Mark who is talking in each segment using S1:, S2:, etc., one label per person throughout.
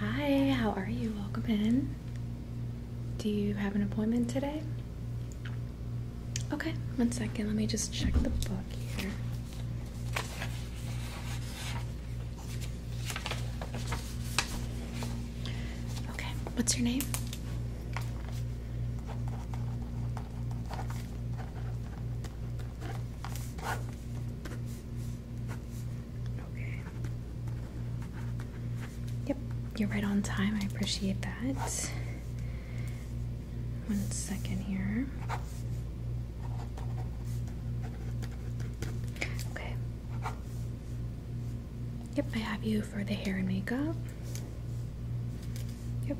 S1: Hi, how are you? Welcome in. Do you have an appointment today? Okay, one second. Let me just check the book here. Okay, what's your name? Okay. Yep, you're right on time. I appreciate that. One second here. Okay. Yep, I have you for the hair and makeup. Yep.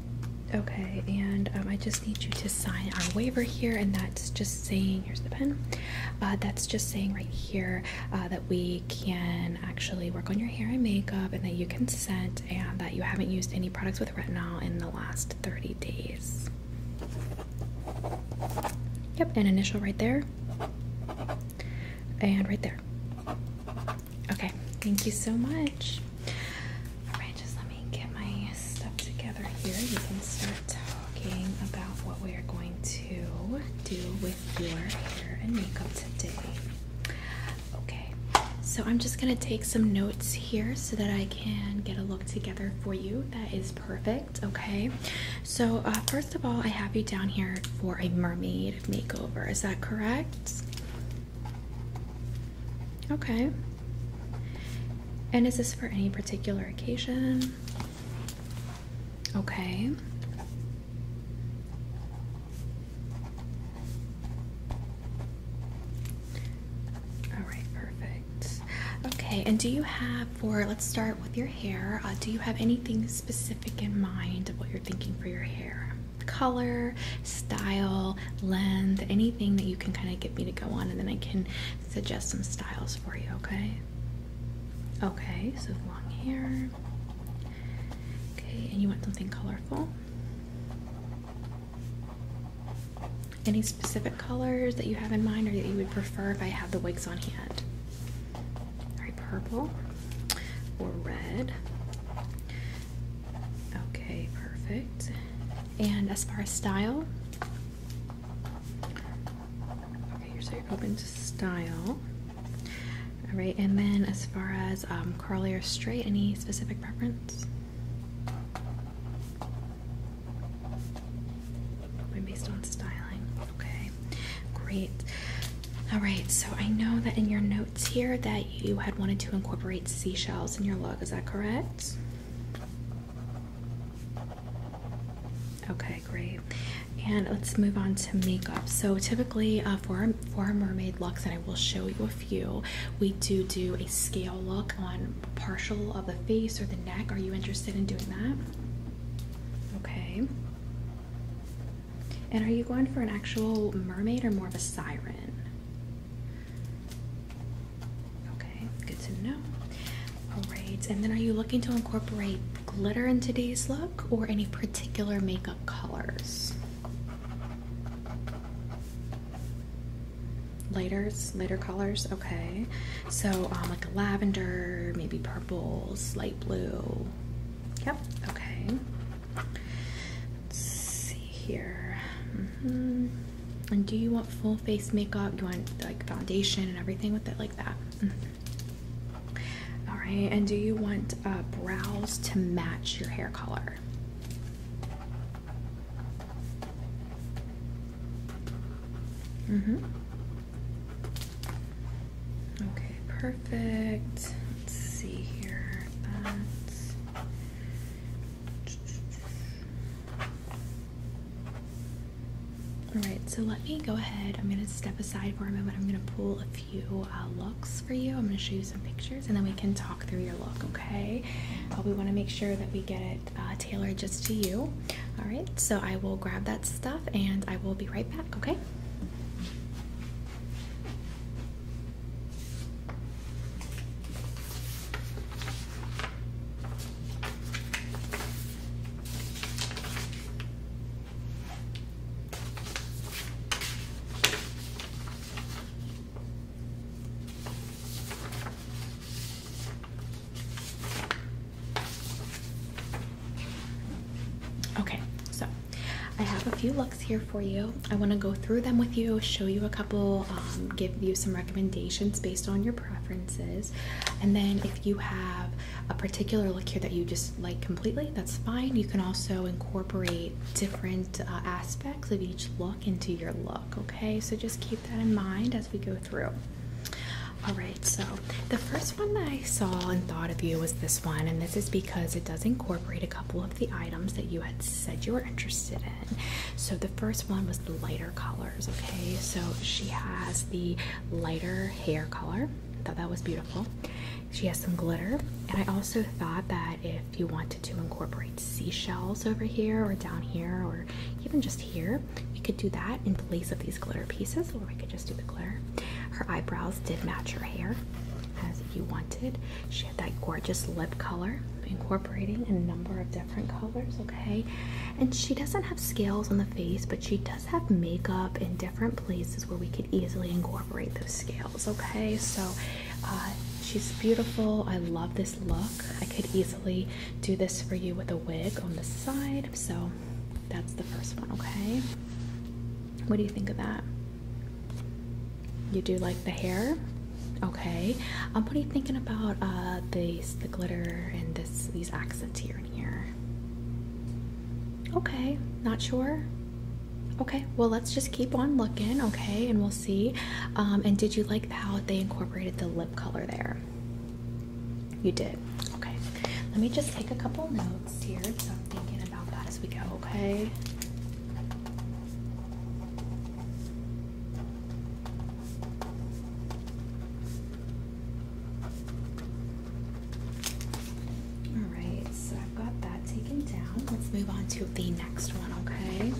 S1: Okay, and um, I just need you to sign our waiver here, and that's just saying here's the pen. Uh, that's just saying right here uh, that we can actually work on your hair and makeup, and that you consent, and that you haven't used any products with retinol in the last 30 days. Yep, an initial right there, and right there. Okay, thank you so much. Alright, just let me get my stuff together here. We can start talking about what we are going to do with your hair and makeup today. Okay, so I'm just going to take some notes here so that I can get a look together for you that is perfect. Okay, so uh, first of all, I have you down here for a mermaid makeover. Is that correct? Okay. And is this for any particular occasion? Okay. All right, perfect. Okay, and do you have for let's start with your hair. Uh, do you have anything specific in mind of what you're thinking for your hair? Color, style, length, anything that you can kind of get me to go on, and then I can suggest some styles for you, okay? Okay, so long hair. Okay, and you want something colorful? Any specific colors that you have in mind or that you would prefer if I had the wigs on hand? Alright, purple or red. Okay, perfect. And as far as style, Okay, so you're open to style. All right, and then as far as um, curly or straight, any specific preference? Based on styling. Okay, great. All right, so I know that in your notes here that you had wanted to incorporate seashells in your look. Is that correct? Okay, great. And let's move on to makeup. So typically uh, for, for our mermaid looks, and I will show you a few, we do do a scale look on partial of the face or the neck. Are you interested in doing that? Okay. And are you going for an actual mermaid or more of a siren? Okay, good to know. Alright, and then are you looking to incorporate glitter in today's look or any particular makeup colors? Lighters, lighter colors, okay. So um, like a lavender, maybe purples, light blue. Yep, okay. Let's see here. Mm-hmm. And do you want full face makeup? You want like foundation and everything with it like that? Mm-hmm. All right, and do you want uh, brows to match your hair color? Mm hmm Okay, perfect. Let's see here. All right, so let me go ahead. I'm gonna step aside for a moment. I'm gonna pull a few uh, looks for you. I'm gonna show you some pictures and then we can talk through your look, okay? But we wanna make sure that we get it uh, tailored just to you. All right, so I will grab that stuff and I will be right back, okay? Okay, so I have a few looks here for you. I want to go through them with you, show you a couple, um, give you some recommendations based on your preferences. And then if you have a particular look here that you just like completely, that's fine. You can also incorporate different uh, aspects of each look into your look, okay? So just keep that in mind as we go through. All right, so the first one that I saw and thought of you was this one, and this is because it does incorporate a couple of the items that you had said you were interested in. So the first one was the lighter colors, okay? So she has the lighter hair color. I thought that was beautiful. She has some glitter, and I also thought that if you wanted to incorporate seashells over here or down here or even just here, we could do that in place of these glitter pieces, or we could just do the glitter. Her eyebrows did match her hair as you wanted. She had that gorgeous lip color, incorporating a number of different colors, okay? And she doesn't have scales on the face, but she does have makeup in different places where we could easily incorporate those scales. Okay, so uh, she's beautiful. I love this look. I could easily do this for you with a wig on the side. So that's the first one. Okay, what do you think of that? You do like the hair? Okay. Um, what are you thinking about uh, these, the glitter and this, these accents here and here? Okay. Not sure. Okay. Well, let's just keep on looking. Okay, and we'll see. Um, and did you like how they incorporated the lip color there? You did. Okay. Let me just take a couple notes here. So I'm thinking about that as we go. Okay. All right, so I've got that taken down. Let's move on to the next one, okay?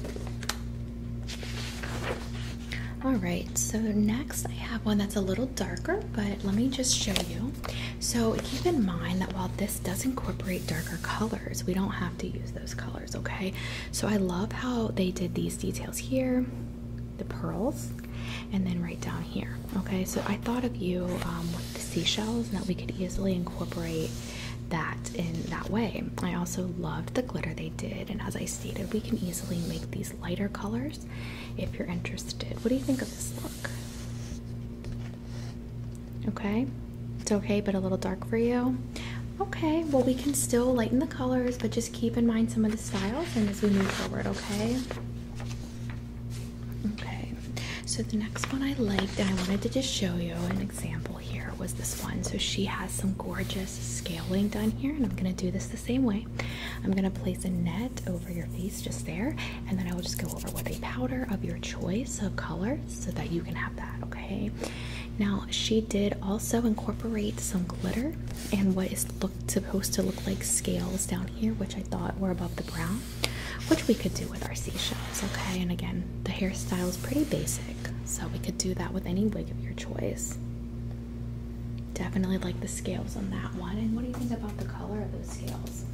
S1: All right, so next I have one that's a little darker, but let me just show you. So keep in mind that while this does incorporate darker colors, we don't have to use those colors okay so i love how they did these details here the pearls and then right down here okay so i thought of you um, with the seashells and that we could easily incorporate that in that way i also loved the glitter they did and as i stated we can easily make these lighter colors if you're interested what do you think of this look okay it's okay but a little dark for you Okay, well, we can still lighten the colors, but just keep in mind some of the styles and as we move forward, okay? Okay, so the next one I liked and I wanted to just show you an example here was this one. So she has some gorgeous scaling done here, and I'm gonna do this the same way. I'm gonna place a net over your face just there, and then I will just go over with a powder of your choice of colors, so that you can have that, okay? Now, she did also incorporate some glitter and what is supposed to look like scales down here, which I thought were above the brow, which we could do with our seashells, okay? And again, the hairstyle is pretty basic, so we could do that with any wig of your choice. Definitely like the scales on that one. And what do you think about the color of those scales?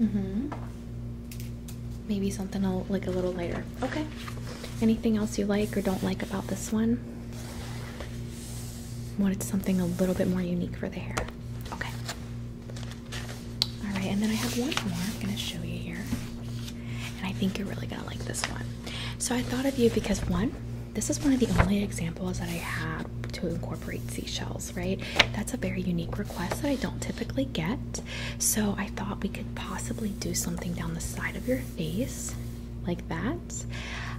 S1: Mm-hmm. Maybe something I'll like a little lighter. Okay. Anything else you like or don't like about this one? Wanted something a little bit more unique for the hair. Okay. All right, and then I have one more I'm gonna show you here, and I think you're really gonna like this one. So I thought of you because one, this is one of the only examples that I have to incorporate seashells. Right? That's a very unique request that I don't typically get. So I thought we could possibly do something down the side of your face like that.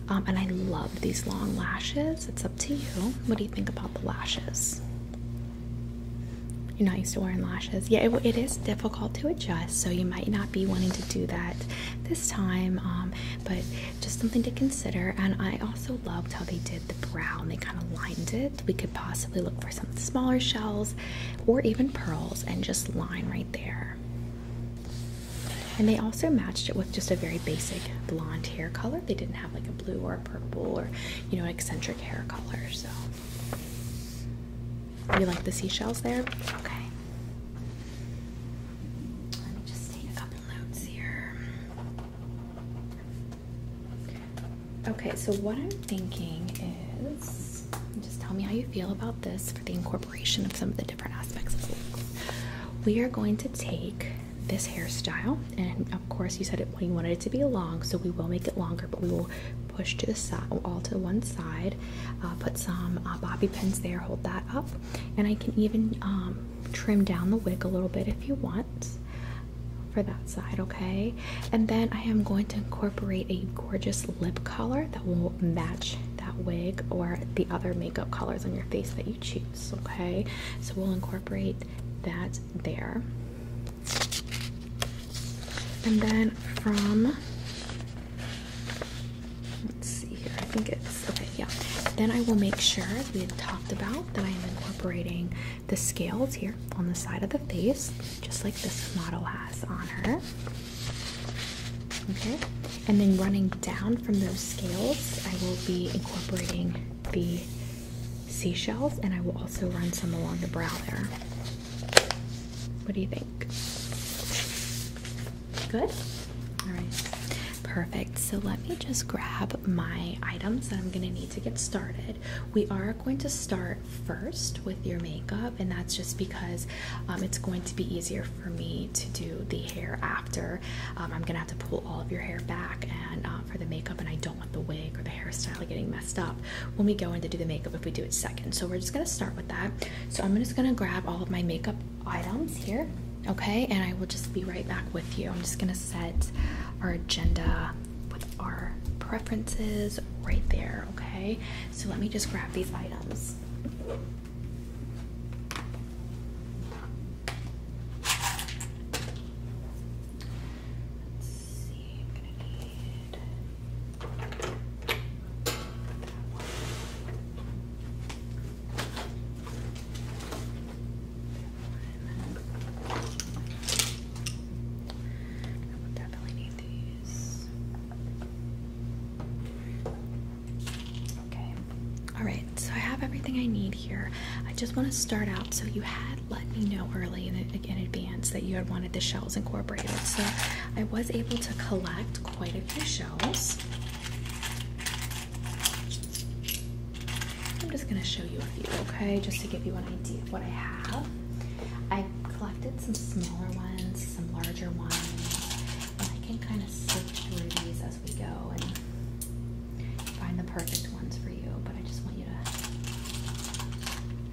S1: Um, and I love these long lashes. It's up to you. What do you think about the lashes? You're not used to wearing lashes. Yeah, it is difficult to adjust, so you might not be wanting to do that this time, um, but just something to consider. And I also loved how they did the brow and they kind of lined it we could possibly look for some smaller shells or even pearls and just line right there. And they also matched it with just a very basic blonde hair color. They didn't have like a blue or a purple or, you know, an eccentric hair color. So, you like the seashells there? Okay. Let me just take a couple notes here. Okay, so what I'm thinking is just tell me how you feel about this for the incorporation of some of the different aspects of the look. We are going to take this hairstyle, and of course, you said it when you wanted it to be long, so we will make it longer, but we will push to the side, all to one side, uh, put some uh, bobby pins there, hold that up, and I can even um, trim down the wig a little bit if you want for that side, okay? And then I am going to incorporate a gorgeous lip color that will match that wig or the other makeup colors on your face that you choose, okay? So we'll incorporate that there. And then from let's see here, I think it's okay, yeah. Then I will make sure we had talked about that I am incorporating the scales here on the side of the face, just like this model has on her. Okay, and then running down from those scales, I will be incorporating the seashells and I will also run some along the brow there. What do you think? Good? All right, perfect. So let me just grab my items that I'm going to need to get started. We are going to start first with your makeup, and that's just because um, it's going to be easier for me to do the hair after. Um, I'm gonna have to pull all of your hair back and um, for the makeup, and I don't want the wig or the hairstyle getting messed up when we go in to do the makeup if we do it second. So we're just gonna start with that. So I'm just gonna grab all of my makeup items here okay and i will just be right back with you i'm just gonna set our agenda with our preferences right there, okay? So let me just grab these items. Let's see, I'm gonna need Okay. Alright, so I have everything I need here. I just want to start out. So you had let me know early in, in advance that you had wanted the shells incorporated. So I was able to collect quite a few shells. I'm just going to show you a few, okay? Just to give you an idea of what I have. I collected some smaller ones, some larger ones. And I can kind of sift through these as we go and find the perfect ones for you. But I just want you to.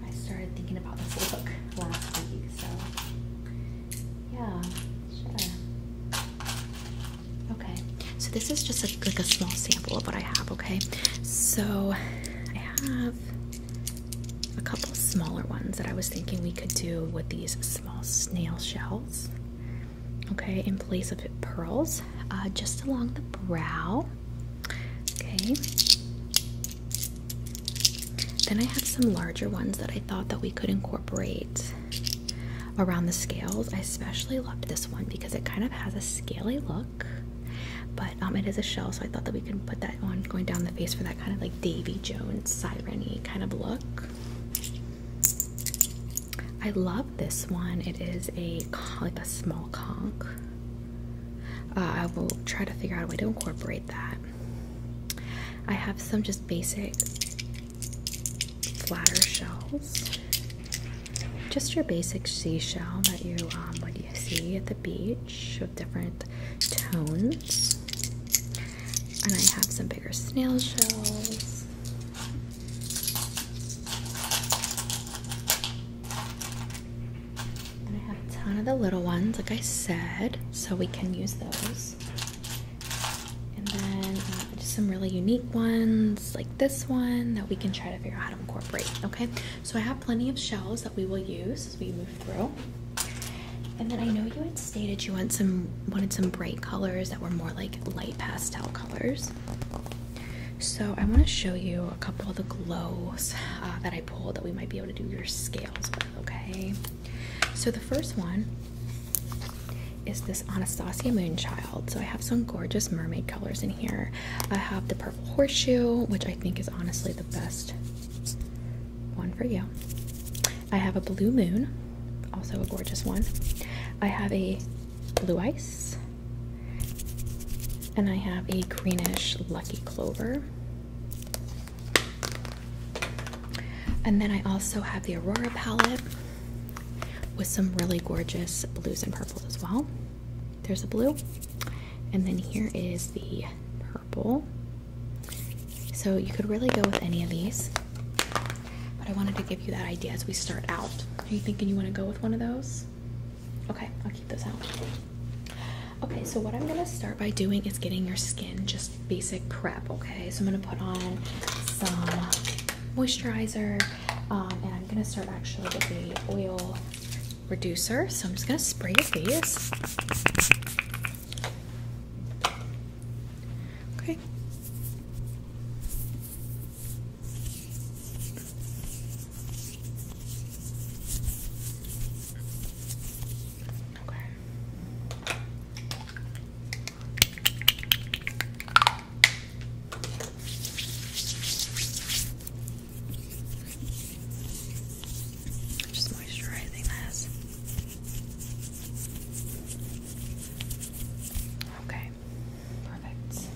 S1: I started thinking about this look last week, so yeah, sure. Okay, so this is just like a small sample of what I have. Okay, so I have a couple smaller ones that I was thinking we could do with these small snail shells. Okay, in place of pearls, uh, just along the brow. Okay. Then I have some larger ones that I thought that we could incorporate around the scales. I especially loved this one because it kind of has a scaly look. But um, it is a shell, so I thought that we could put that on going down the face for that kind of like Davy Jones siren kind of look. I love this one. It is a like a small conch. Uh, I will try to figure out a way to incorporate that. I have some just basic flatter shells, just your basic seashell that you um, would see at the beach with different tones. And I have some bigger snail shells. And I have a ton of the little ones, like I said, so we can use those. And then uh, just some really unique ones, like this one, that we can try to figure out how to incorporate. Okay, so I have plenty of shells that we will use as we move through. And then I know you had stated you want some wanted some bright colors that were more like light pastel colors. So I want to show you a couple of the glows uh, that I pulled that we might be able to do your scales with, okay? So the first one is this Anastasia Moonchild. So I have some gorgeous mermaid colors in here. I have the horseshoe, which I think is honestly the best one for you. I have a blue moon, also a gorgeous one. I have a blue ice, and I have a greenish lucky clover. And then I also have the Aurora palette with some really gorgeous blues and purples as well. There's a blue. And then here is the purple. So you could really go with any of these. But I wanted to give you that idea as we start out. Are you thinking you want to go with one of those? Okay, I'll keep those out. Okay, so what I'm going to start by doing is getting your skin just basic prep, okay? So I'm going to put on some moisturizer, um, and I'm going to start actually with the oil reducer. So I'm just going to spray your face. Okay. Just moisturizing this. Okay, perfect.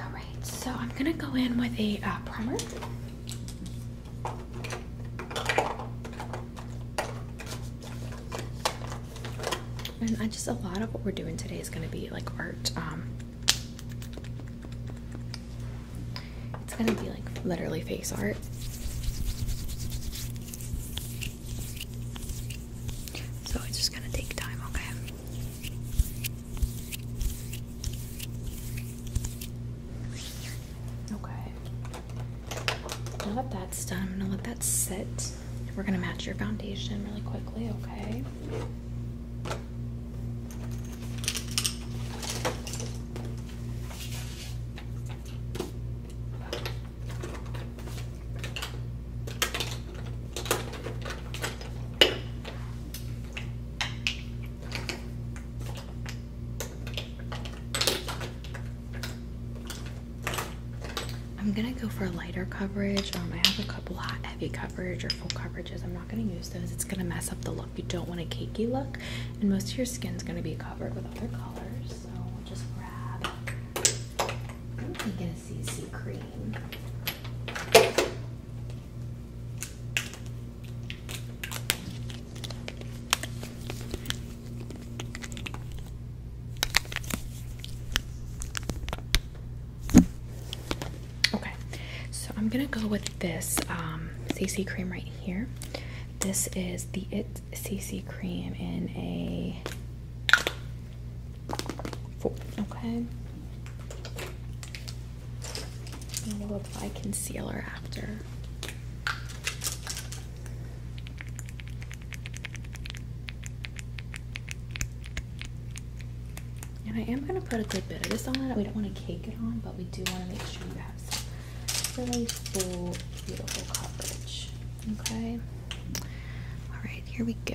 S1: Alright, so I'm gonna go in with a uh, primer. And I just a lot of what we're doing today is gonna be like art. Um, it's gonna be like literally face art. So it's just gonna take time, okay? Okay. Now that that's done, I'm gonna let that sit. We're gonna match your foundation really quickly, okay? I'm gonna go for a lighter coverage. Um, I have a couple hot heavy coverage or full coverages. I'm not going to use those. It's going to mess up the look. You don't want a cakey look, and most of your skin is going to be covered with other colors. So we'll just grab. I'm going to get a CC cream. Okay, so I'm gonna go with this CC um, cream right here. This is the It CC cream in a four. Okay. I'm gonna apply concealer after. And I am going to put a good bit of this on it. We don't want to cake it on, but we do want to make sure you have some really full, beautiful coverage. Okay? Alright, here we go.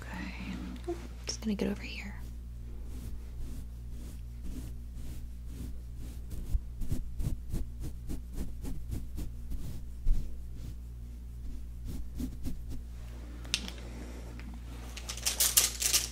S1: Okay. Oh, just gonna get over here.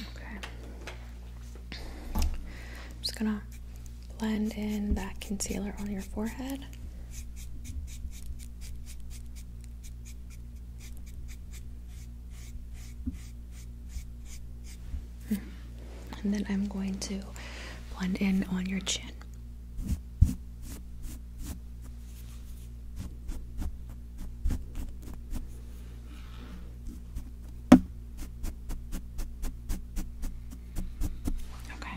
S1: Okay. I'm just gonna blend in that concealer on your forehead. And then I'm going to blend in on your chin. Okay.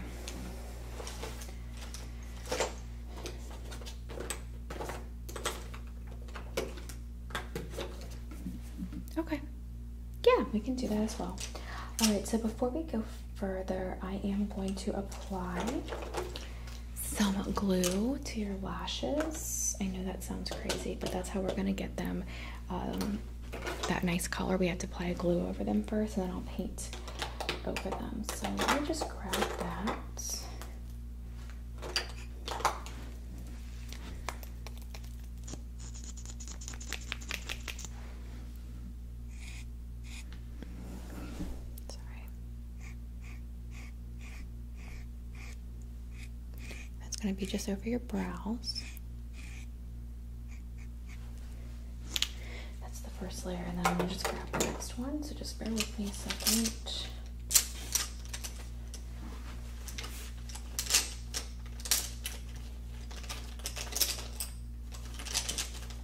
S1: Okay. Yeah, we can do that as well. All right, so before we go further, I am going to apply some glue to your lashes. I know that sounds crazy, but that's how we're going to get them um, that nice color. We have to apply a glue over them first, and then I'll paint over them. So let me just grab that. Sorry. That's going to be just over your brows. That's the first layer, and then I'm going to just grab the next one. So just bear with me a second.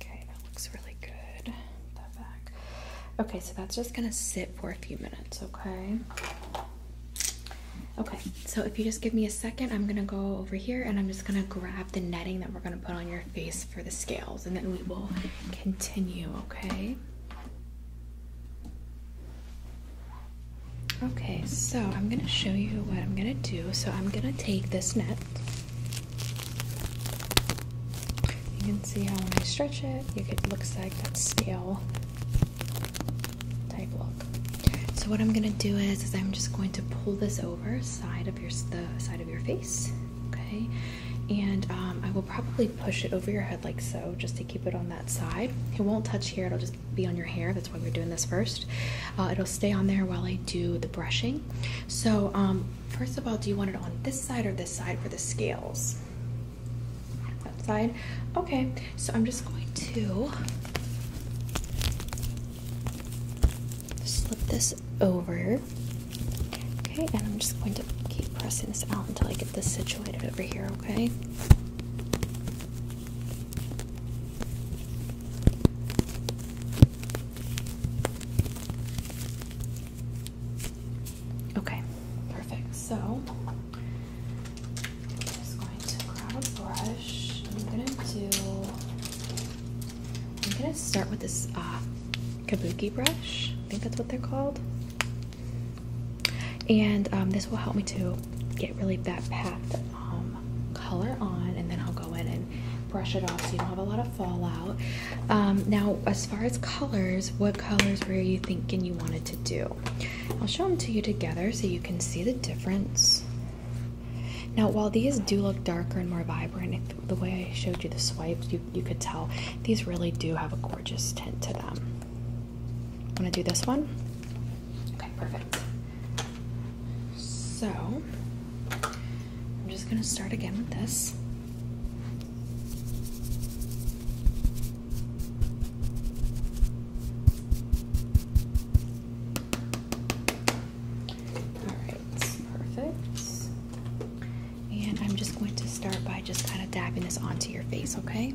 S1: Okay, that looks really good. that back. Okay, so that's just gonna sit for a few minutes, okay? Okay, so if you just give me a second, I'm gonna go over here and I'm just gonna grab the netting that we're gonna put on your face for the scales and then we will continue, okay? Okay, so I'm going to show you what I'm going to do. So I'm going to take this net. You can see how when I stretch it, it looks like that scale type look. So what I'm going to do is, is I'm just going to pull this over side of your the side of your face. Okay, and um, I will probably push it over your head like so, just to keep it on that side. It won't touch here; it'll just be on your hair. That's why we're doing this first. Uh, it'll stay on there while I do the brushing. So, um, first of all, do you want it on this side or this side for the scales? That side. Okay. So I'm just going to slip this over. Okay, and I'm just going to keep pressing this out until I get this situated over here, okay? Okay, perfect. So I'm just going to grab a brush. I'm going to do I'm gonna start with this uh, kabuki brush. I think that's what they're called. And um, this will help me to get really that packed um, color on and then I'll go in and brush it off so you don't have a lot of fallout. Um, now, as far as colors, what colors were you thinking you wanted to do? I'll show them to you together so you can see the difference. Now, while these do look darker and more vibrant, the way I showed you the swipes, you, you could tell these really do have a gorgeous tint to them. I'm gonna do this one. Okay, perfect. So, I'm just gonna start again with this. All right, perfect. And I'm just going to start by just kind of dabbing this onto your face, okay?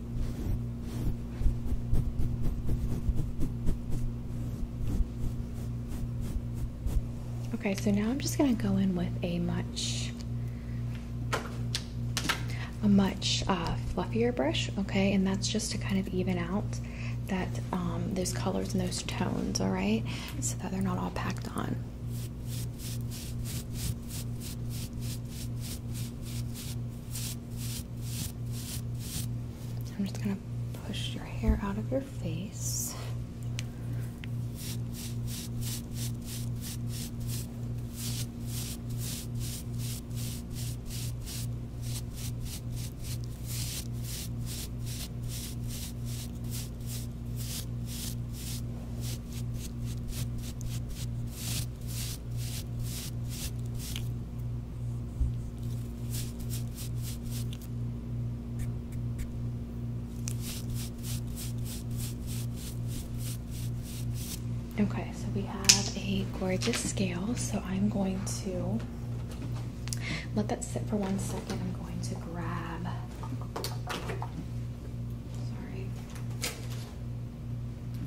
S1: Okay, so now I'm just gonna go in with a much, a much uh, fluffier brush, okay? And that's just to kind of even out that um, those colors and those tones, all right? So that they're not all packed on. I'm just going to push your hair out of your face. Okay, so we have a gorgeous scale. So I'm going to let that sit for one second. I'm going to grab.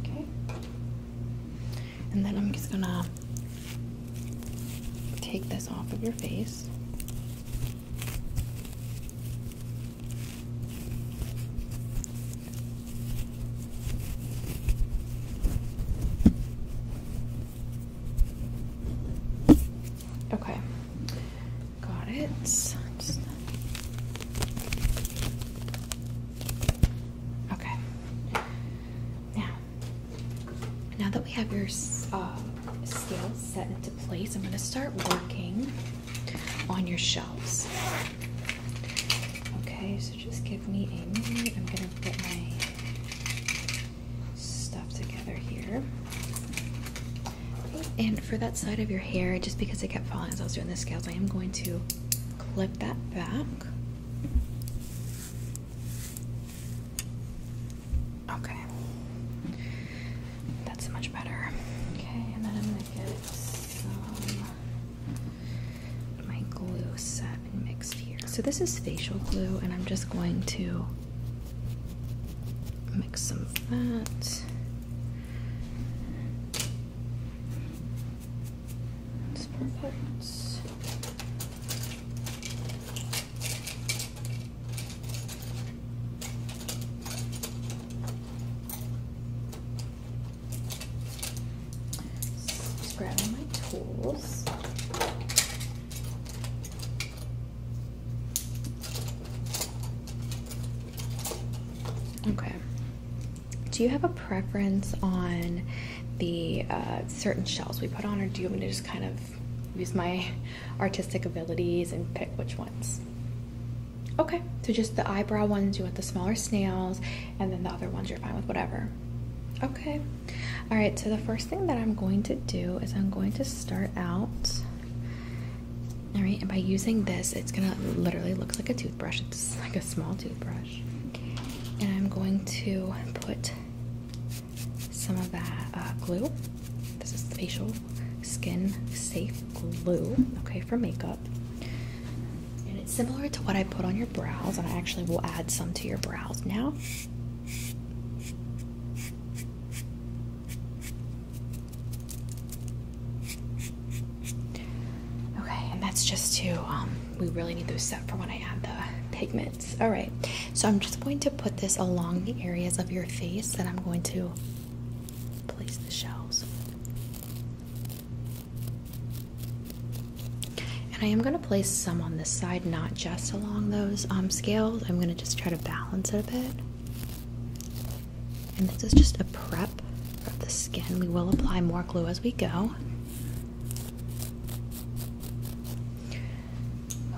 S1: Okay. And then I'm just gonna take this off of your face. Okay, got it. Okay. Now, now that we have your scales uh, set into place, I'm going to start working on your shelves. Okay, so just give me a minute. I'm going to get my stuff together here. And for that side of your hair, just because it kept falling as I was doing the scales, I am going to clip that back. Okay. That's much better. Okay, and then I'm going to get some my glue set mixed here. So this is facial glue and I'm just going to mix some of that. It's perfect. Just grabbing my tools. Okay do you have a preference on the uh, certain shells we put on, or do you want me to just kind of use my artistic abilities and pick which ones? Okay, so just the eyebrow ones, you want the smaller snails, and then the other ones you're fine with whatever. Okay, all right, so the first thing that I'm going to do is I'm going to start out. All right, and by using this, it's gonna literally looks like a toothbrush. It's like a small toothbrush. And I'm going to put some of that uh, glue. This is facial skin safe glue, okay, for makeup. And it's similar to what I put on your brows, and I actually will add some to your brows now. Okay, and that's just to, um, we really need those set for when I add the pigments. All right, so I'm just going to put this along the areas of your face that I'm going to place the shells. And I am going to place some on this side, not just along those um, scales. I'm going to just try to balance it a bit. And this is just a prep of the skin. We will apply more glue as we go.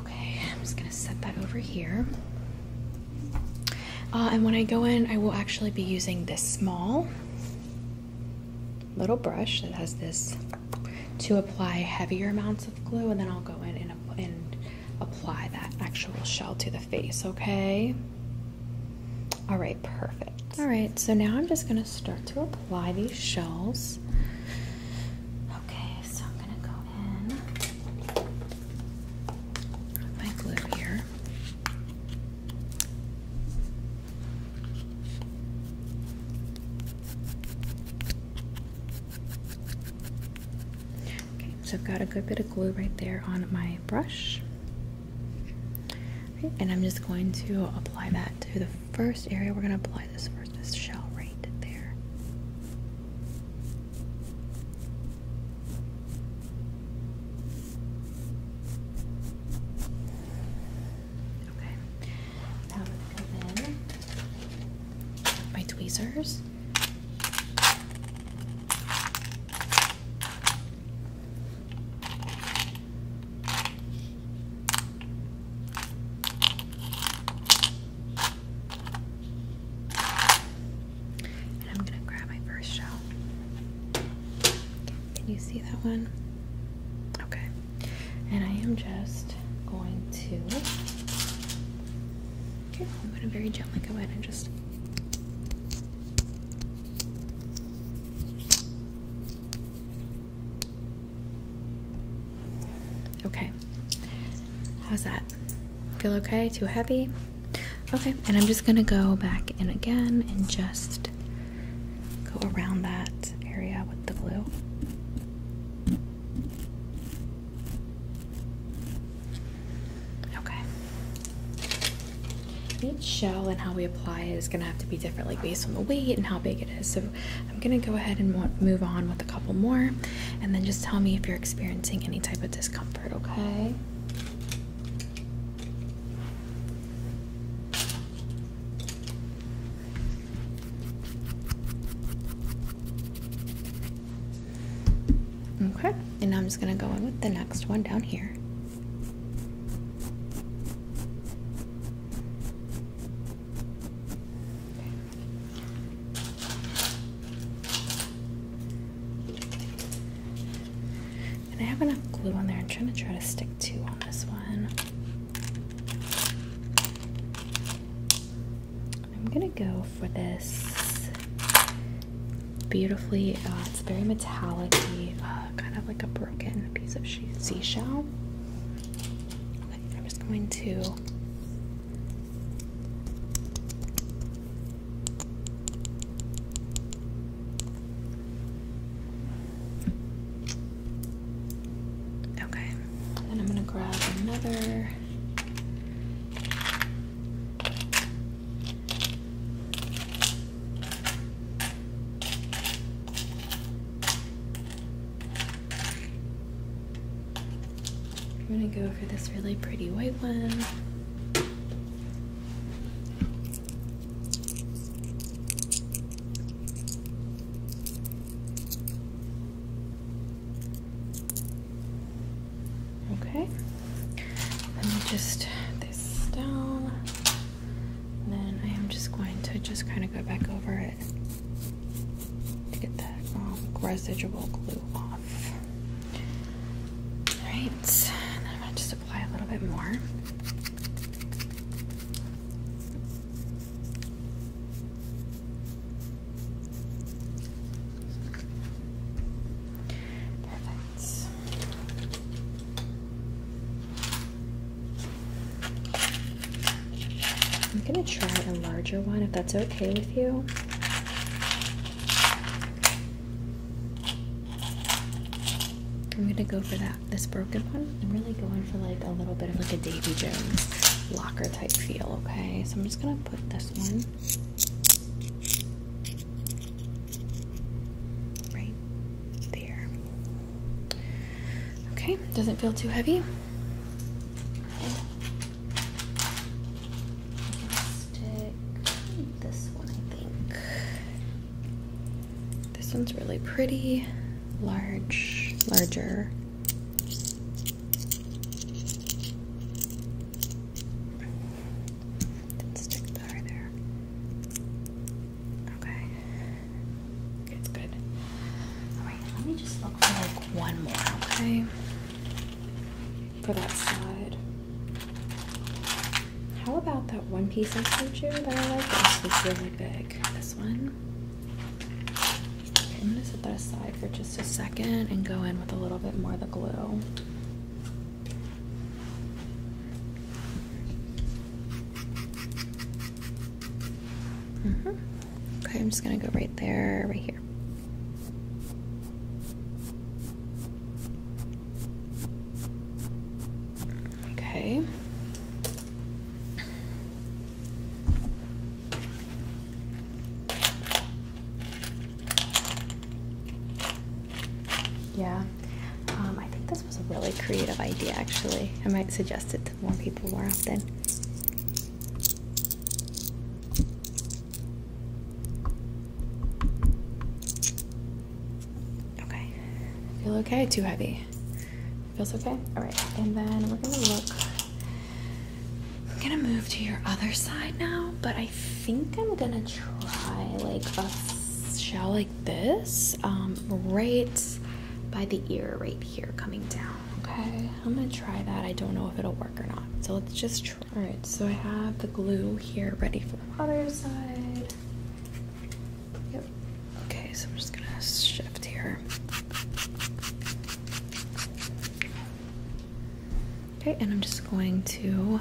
S1: Okay, I'm just gonna set that over here. Uh, and when I go in, I will actually be using this small little brush that has this to apply heavier amounts of glue, and then I'll go in and apply that actual shell to the face, okay? All right, perfect. All right, so now I'm just going to start to apply these shells. Okay, so I'm going to go in my glue here. Okay, so I've got a good bit of glue right there on my brush and I'm just going to apply that to the first area. We're going to apply this first, shell right there. Okay, now i my tweezers and I'm going to grab my first shell. Can you see that one? Okay. And I am just going to. Okay, I'm going to very gently go in and just Okay. How's that? Feel okay? Too heavy? Okay. And I'm just going to go back in again and just go around that area with the glue. Okay each shell and how we apply is going to have to be different like based on the weight and how big it is so i'm going to go ahead and move on with a couple more and then just tell me if you're experiencing any type of discomfort okay okay and i'm just going to go in with the next one down here and I have enough glue on there. I'm trying to try to stick two on this one. I'm gonna go for this beautifully. Uh, it's very metallic uh, kind of like a broken piece of seashell. I'm just going to Okay, then I'm gonna grab another I'm gonna go for this really pretty white one. Okay, let me just this down. And then I am just going to just kind of go back over it to get that um, residual glue off. Alright, and I'm going to just apply a little bit more. Perfect. I'm going to try a larger one if that's okay with you. I'm gonna go for that, this broken one. I'm really going for like a little bit of like a Davy Jones locker type feel, okay? So I'm just gonna put this one right there. Okay, doesn't feel too heavy. Stick this one, I think. This one's really pretty, large, larger. Didn't stick there. Okay. It's good. Alright, let me just look for like one more, okay? For that side. How about that one piece I showed that I like? This was really big. This one. I'm gonna set that aside for just a second and go in with a little bit more of the glue. Mm-hmm. Okay, I'm just going to go right there, right here. Okay. Yeah, um, I think this was a really creative idea actually. I might suggest it to more people more often. Okay, I feel okay? Too heavy? Feels okay? Alright, and then we're gonna look. I'm gonna move to your other side now, but I think I'm gonna try like a shallow this, um, right by the ear, right here, coming down. Okay, I'm gonna try that. I don't know if it'll work or not. So let's just try. All right, so I have the glue here ready for the other side. Yep. Okay, so I'm just gonna shift here. Okay, and I'm just going to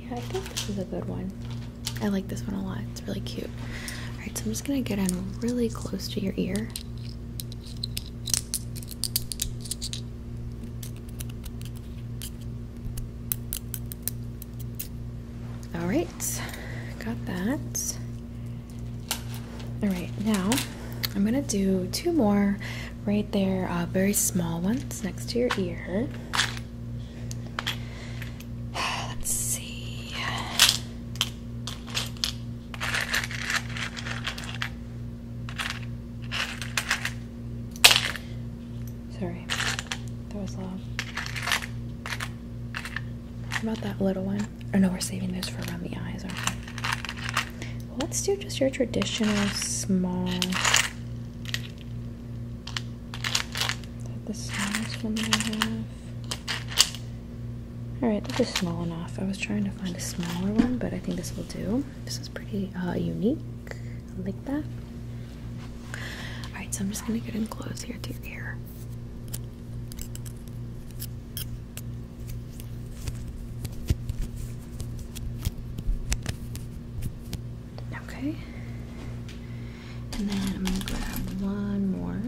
S1: Yeah, I think this is a good one. I like this one a lot. It's really cute. Alright, so I'm just gonna get in really close to your ear. Alright, got that. Alright, now I'm gonna do two more right there, uh, very small ones next to your ear. Let's see. Sorry, that was loud. How about that little one? Oh no, we're saving those for around the eyes, aren't we? Let's do just your traditional small that the smallest one that I have. Alright, this is small enough. I was trying to find a smaller one, but I think this will do. This is pretty uh, unique. I like that. Alright, so I'm just going to get in close here to your ear. Okay. And then I'm going to grab one more.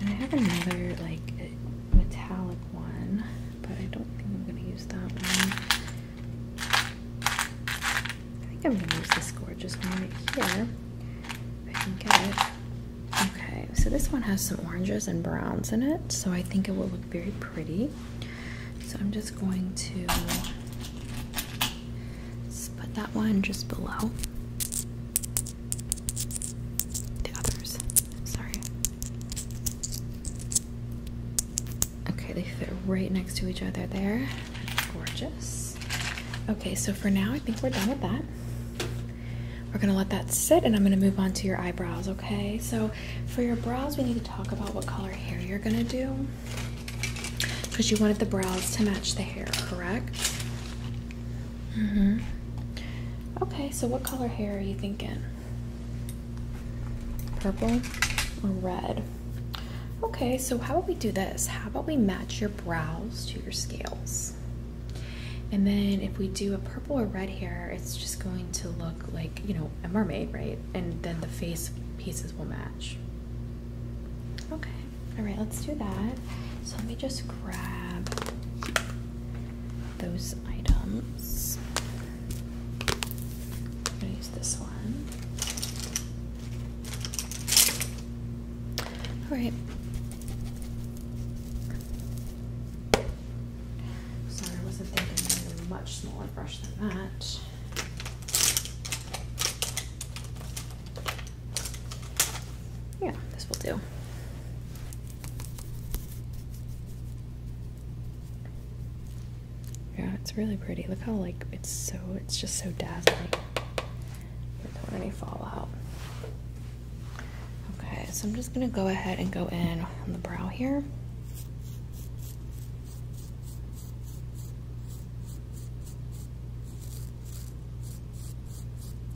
S1: And I have another like metallic one, but I don't think I'm going to use that one. I think I'm going to use this gorgeous one right here. Okay, so this one has some oranges and browns in it, so I think it will look very pretty. So I'm just going to put that one just below the others. Sorry. Okay, they fit right next to each other there. gorgeous. Okay, so for now, I think we're done with that. We're gonna let that sit and I'm gonna move on to your eyebrows, okay? So for your brows, we need to talk about what color hair you're gonna do. Because you wanted the brows to match the hair, correct? Mm-hmm. Okay, so what color hair are you thinking? Purple or red? Okay, so how about we do this? How about we match your brows to your scales? And then if we do a purple or red hair, it's just going to look like, you know, a mermaid, right? And then the face pieces will match. Okay, all right, let's do that. So let me just grab those items. I'm gonna use this one. All right, Sorry, I wasn't thinking I a much smaller brush than that. Yeah, this will do. Yeah, it's really pretty. Look how like it's so it's just so dazzling or any fallout. Okay, so I'm just gonna go ahead and go in on the brow here.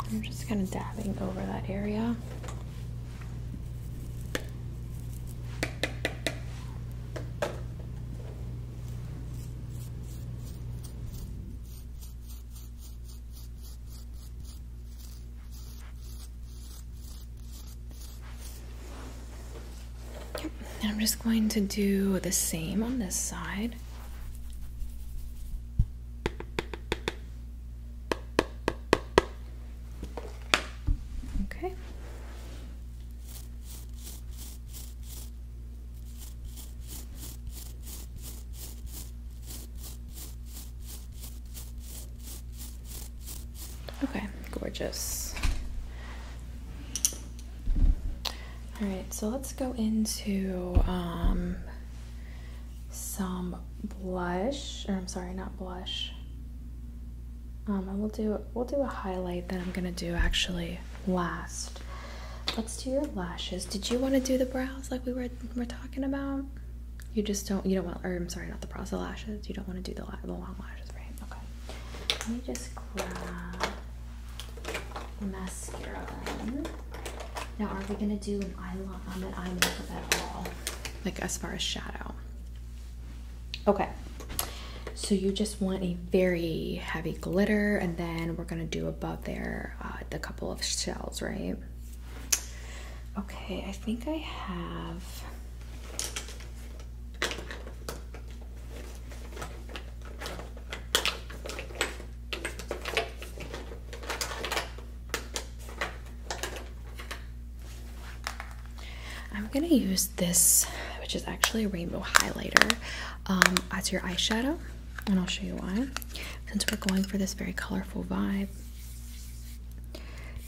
S1: I'm just kind of dabbing over that area. And I'm just going to do the same on this side. Okay. Okay, gorgeous. All right, so let's go into um, some blush, or I'm sorry, not blush. Um, and I will do we'll do a highlight that I'm gonna do actually last. Let's do your lashes. Did you want to do the brows like we were were talking about? You just don't. You don't want. Or I'm sorry, not the brows. lashes. You don't want to do the the long lashes, right? Okay. Let me just grab mascara. Now, are we gonna do an eye um, an eye makeup at all? Like as far as shadow. Okay. So you just want a very heavy glitter, and then we're gonna do above there uh, the couple of shells, right? Okay, I think I have. I'm gonna use this, which is actually a rainbow highlighter, um, as your eyeshadow and I'll show you why. Since we're going for this very colorful vibe,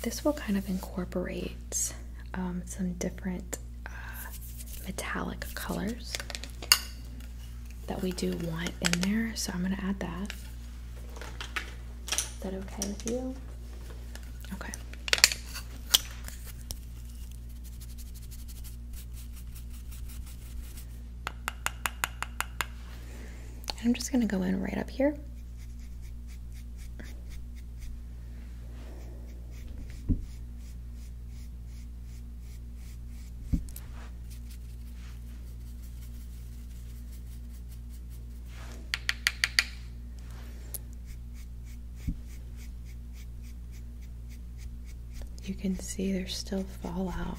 S1: this will kind of incorporate um, some different uh, metallic colors that we do want in there. So I'm going to add that. Is that okay with you? Okay. And I'm just going to go in right up here. You can see there's still fallout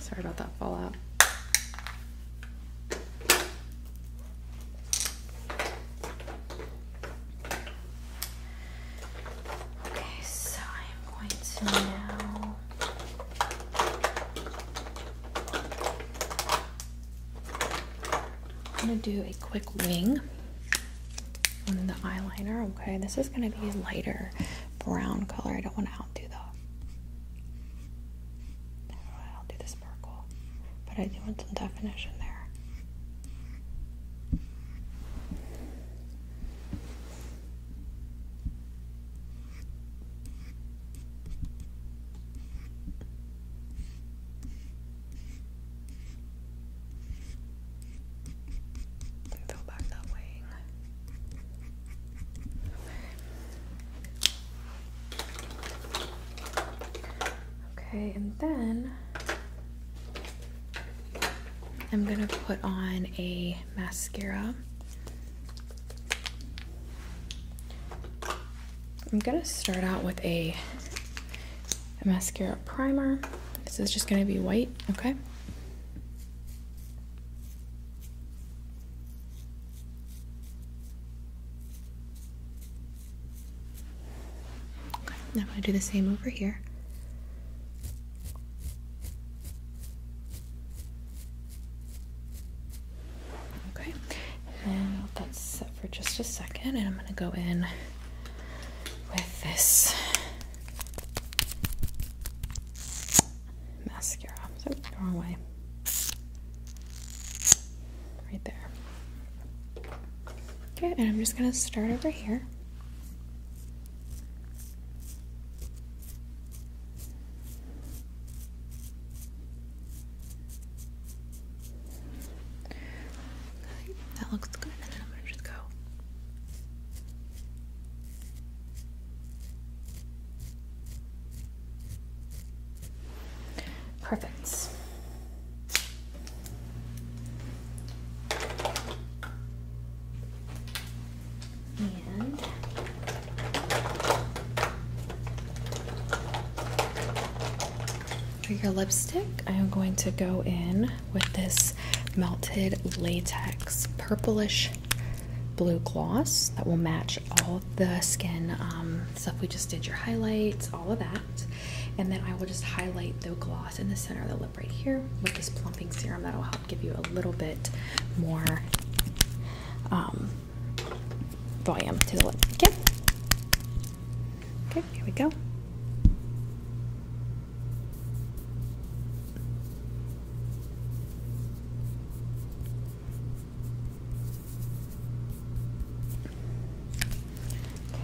S1: Sorry about that fallout. Okay, so I'm going to now I'm gonna do a quick wing on the eyeliner. Okay, this is gonna be a lighter brown color. I don't want to outdo the. I'll do this purple, but I do want some definition there. Go back that way. Okay, and then I'm gonna put on a mascara. I'm gonna start out with a a mascara primer. This is just going to be white, okay? I'm going to do the same over here. Okay, and then that's set for just a second, and I'm going to go in with this mascara. So the wrong way. Right there. Okay, and I'm just gonna start over here that looks good, I'm gonna just go. Perfect. And for your lipstick, I am going to go in with this melted latex purplish blue gloss that will match all the skin um, stuff we just did, your highlights, all of that. And then I will just highlight the gloss in the center of the lip right here with this plumping serum that'll help give you a little bit more um, volume to the lip. Okay. Okay, here we go.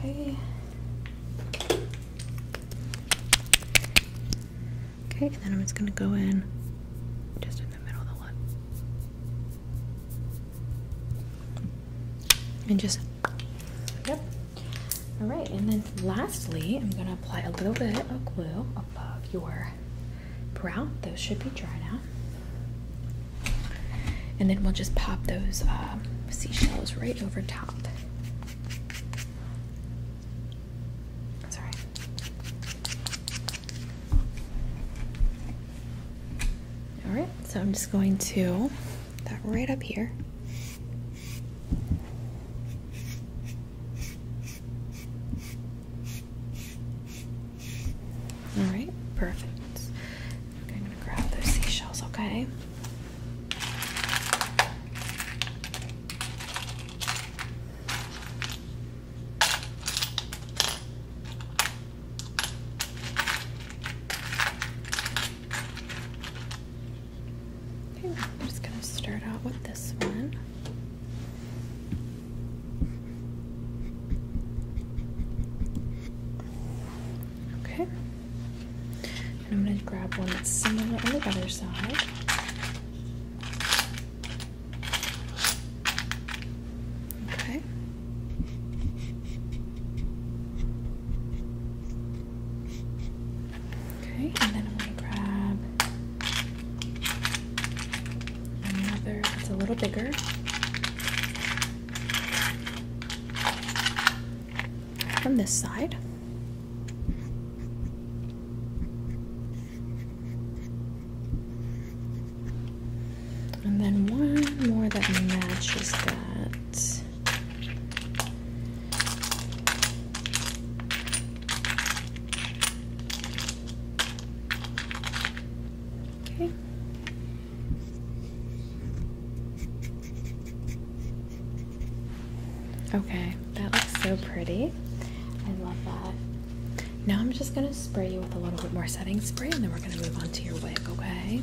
S1: Okay. Okay, and then I'm just gonna go in just in the middle of the lip and just yep all right and then lastly i'm going to apply a little bit of glue above your brow those should be dry now and then we'll just pop those um, seashells right over top that's all right so i'm just going to that right up here. All right, perfect. Okay, I'm gonna grab those seashells, okay? I'm just going to start out with this one. Okay, and I'm going to grab one that's similar on the other side. Okay, Okay, and then I'm going to grab another that's a little bigger. From this side. And then one more that matches that. Okay. Okay, that looks so pretty. I love that. Now I'm just gonna spray you with a little bit more setting spray and then we're gonna move on to your wig, okay?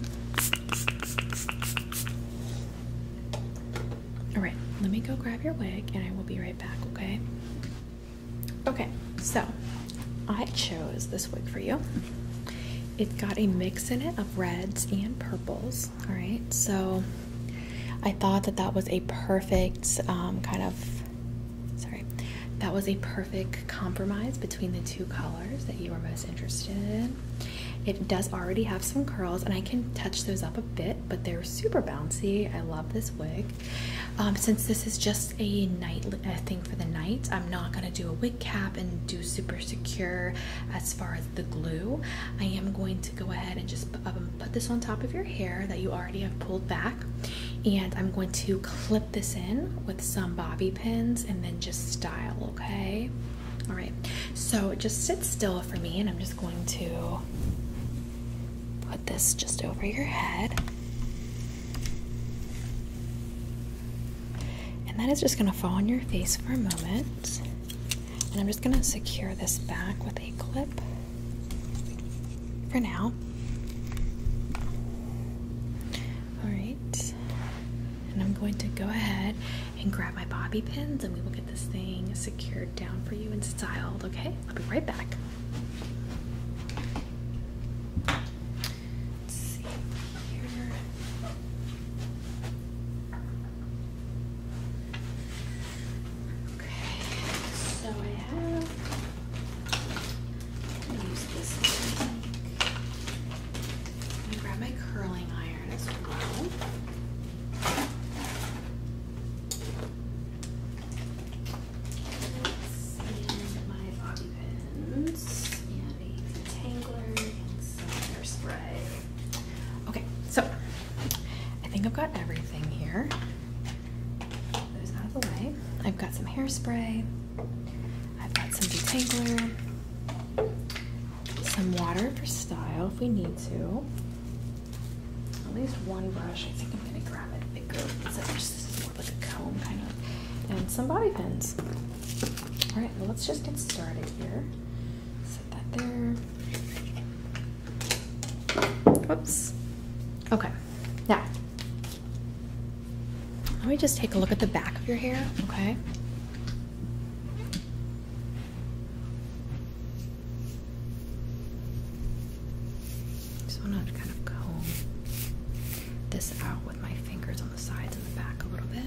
S1: All right, let me go grab your wig and I will be right back, okay? Okay, so I chose this wig for you. It has got a mix in it of reds and purples, all right? So I thought that that was a perfect um, kind of, sorry, that was a perfect compromise between the two colors that you were most interested in. It does already have some curls, and I can touch those up a bit, but they're super bouncy. I love this wig. Um, since this is just a night thing for the night, I'm not gonna do a wig cap and do super secure as far as the glue. I am going to go ahead and just um, put this on top of your hair that you already have pulled back, and I'm going to clip this in with some bobby pins and then just style, okay? All right, so just sit still for me, and I'm just going to put this just over your head. And that is just going to fall on your face for a moment. And I'm just going to secure this back with a clip for now. All right. And I'm going to go ahead and grab my bobby pins and we will get this thing secured down for you and styled, okay? I'll be right back. Okay, so I have I'm gonna grab my curling iron as well. And my bobby pins and a detangler and some hairspray. Okay, so I think I've got everything here. Put those out I've got some hairspray. I've got some detangler some water for style if we need to. At least one brush. I think I'm gonna grab a bigger. Is this is more like a comb kind of? And some bobby pins. All right, well, let's just get started here. Set that there. Oops. Okay. Now, let me just take a look at the back of your hair. Okay. Just want to kind of comb this out with my fingers on the sides and the back a little bit.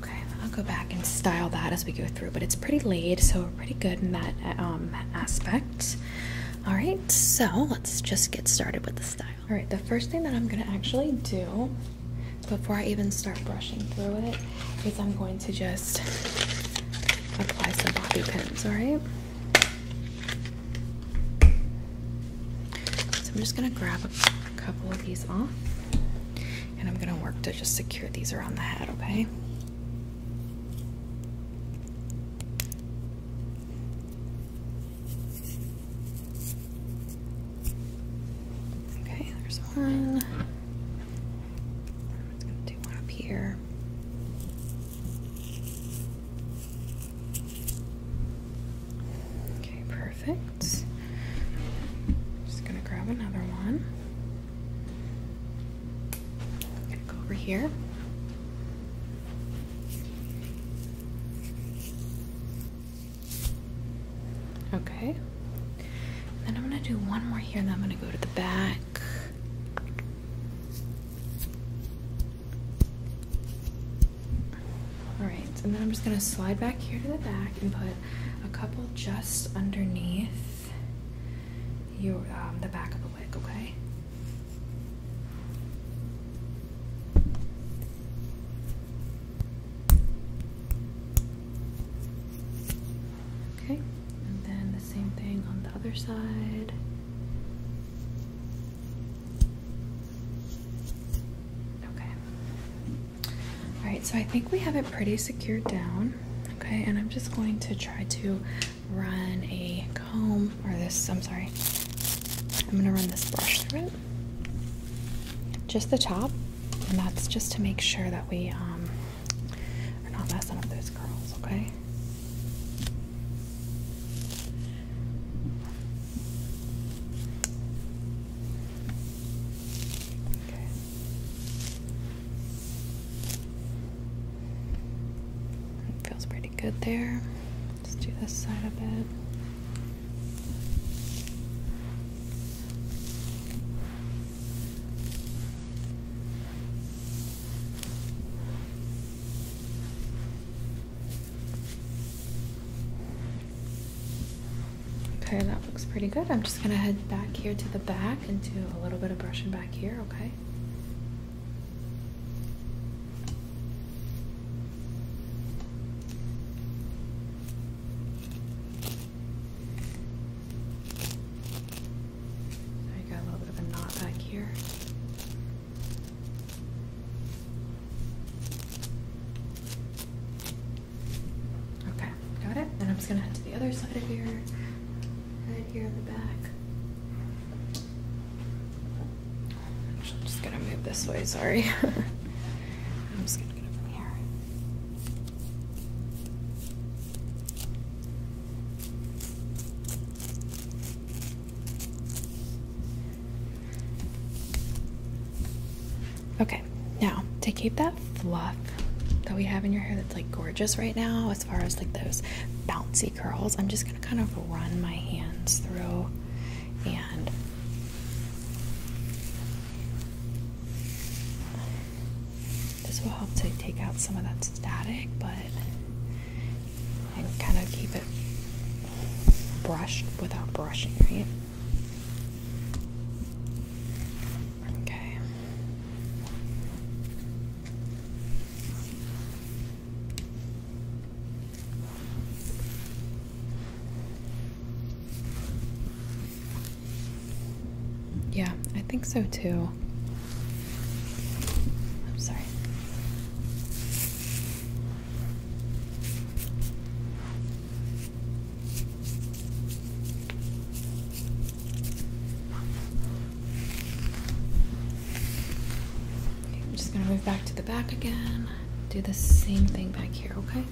S1: Okay, I'll go back and style that as we go through, but it's pretty laid, so a pretty good in that um, aspect. All right, so let's just get started with the style. All right, the first thing that I'm gonna actually do before I even start brushing through it is I'm going to just apply some bobby pins, all right? So I'm just gonna grab a couple of these off and I'm gonna work to just secure these around the head, okay? Okay, there's one. I'm just going to do one up here. Okay, perfect. just going to grab another one. I'm gonna go over here. Okay. Then I'm gonna do one more here, and then I'm gonna go to the back. Alright, and then I'm just gonna slide back here to the back and put a couple just underneath your um, the back of the wig, okay? Okay, and then the same thing on the other side. Okay. Alright, so I think we have it pretty secured down. Okay, and I'm just going to try to run a comb or this, I'm sorry, I'm gonna run this brush through it, just the top, and that's just to make sure that we um, are not messing up those curls, Okay. It feels pretty good there. Let's do this side a bit. Okay, that looks pretty good. I'm just gonna head back here to the back and do a little bit of brushing back here, okay? I got a little bit of a knot back here. Okay, got it. And I'm just gonna head to the other side of here right here in the back. Actually, I'm just gonna move this way, sorry. I'm just gonna get it from here. Okay, now to keep that fluff that we have in your hair that's like gorgeous right now, as far as like those bouncy curls, I'm just going to kind of run my hands through and this will help to take out some of that static, but and kind of keep it brushed without brushing, right? Okay. Yeah, I think so too. I'm sorry. I'm just going to move back to the back again. Do the same thing back here, okay? Okay.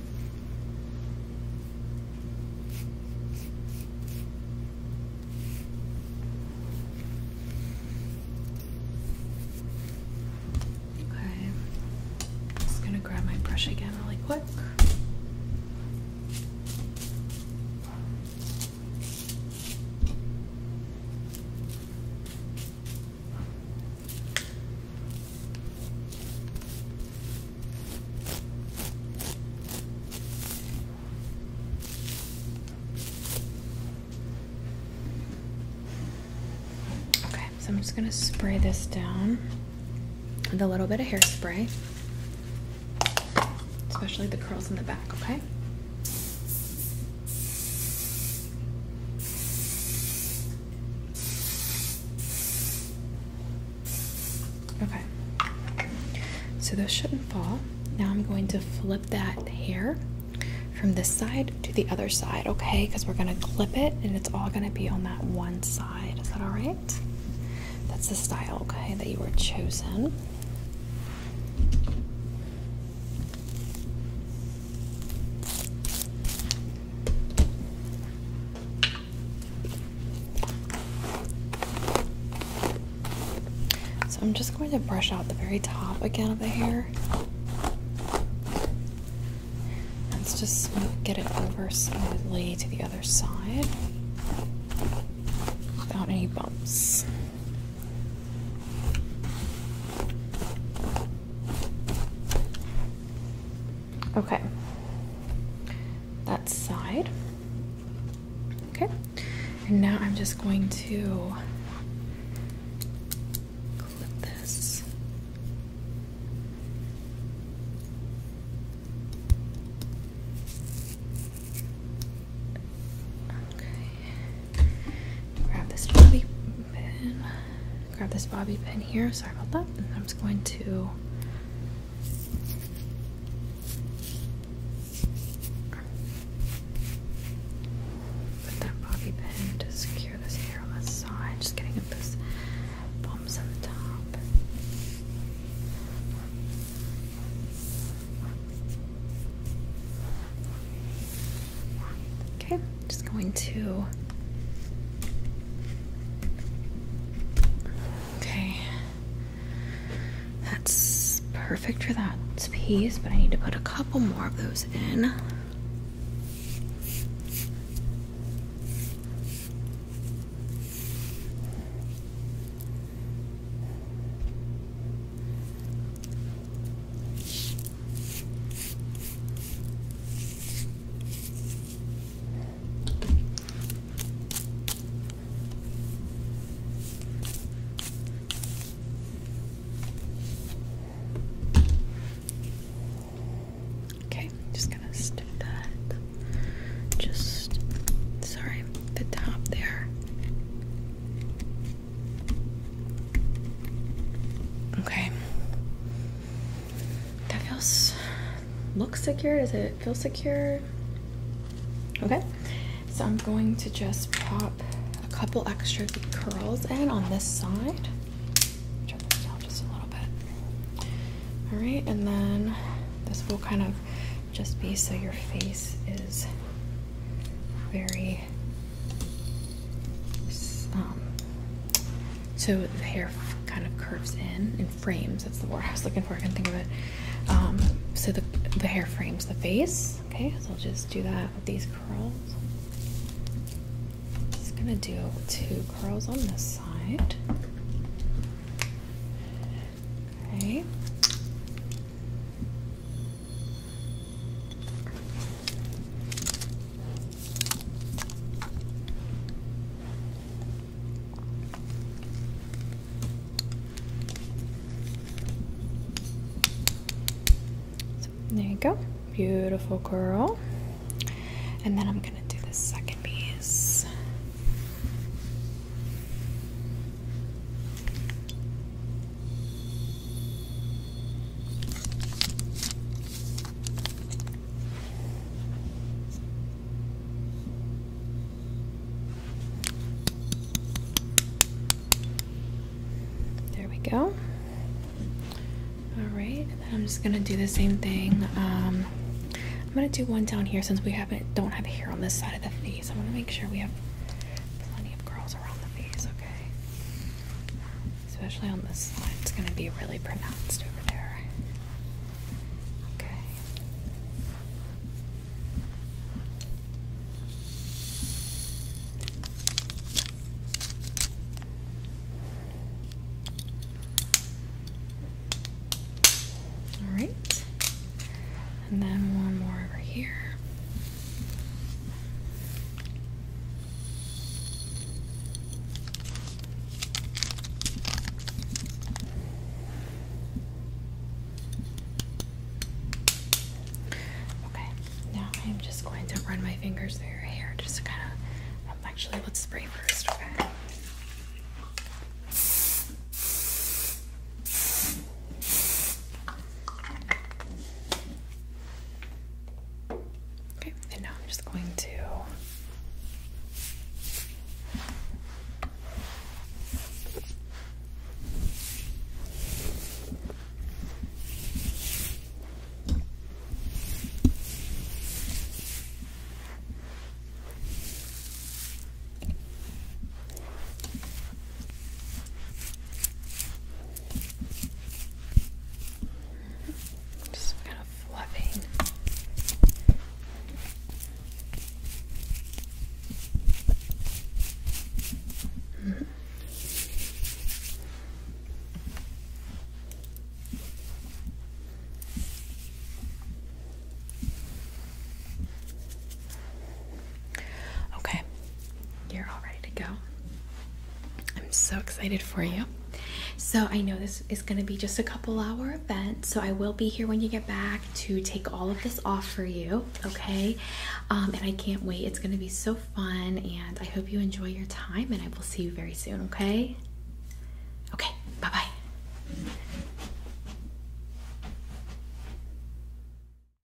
S1: just going to grab my brush again really quick. Okay, so I'm just going to spray this down with a little bit of hairspray, especially the curls in the back, okay? Okay, so those shouldn't fall. Now I'm going to flip that hair from this side to the other side, okay? Because we're gonna clip it and it's all gonna be on that one side. Is that all right? That's the style, okay, that you were chosen. So I'm just going to brush out the very top again of the hair. Let's just get it over smoothly to the other side without any bumps. Okay. That side. Okay. And now I'm just going to clip this. Okay. Grab this bobby pin. Grab this bobby pin here. Sorry about that. I'm just going to. Put that bobby pin to secure this hair on the side. Just getting up those bumps on the top. Okay, just going to. Okay. That's perfect for that piece, but I need to put a couple more of those in. Okay, just gonna stick that just sorry, the top there. Okay. That feels looks secure. Does it feel secure? Okay. So I'm going to just pop a couple extra curls in on this side. just a little bit. All right, and then this will kind of just be so your face is very um, so the hair kind of curves in and frames. That's the word I was looking for. I can not think of it. Um, so the the hair frames the face. Okay, so I'll just do that with these curls. Just gonna do two curls on this side. Okay there you go, beautiful girl. And then I'm gonna do the second piece. There we go. All right, I'm just gonna do the same thing. Um, I'm gonna do one down here since we haven't don't have hair on this side of the face. I want to make sure we have plenty of curls around the face, okay? Especially on this side, it's going to be really pronounced over there. Okay. All right and then one more over here. Okay, now I'm just going to run my fingers through your hair just to kind of. Um, actually, let's spray first, Okay, and now I'm just going to just kind of fluffing. Okay, you're all ready to go. I'm so excited for you. So, I know this is going to be just a couple hour event, so I will be here when you get back to take all of this off for you, okay? Um, and I can't wait. It's going to be so fun, and I hope you enjoy your time, and I will see you very soon, okay? Okay, bye bye.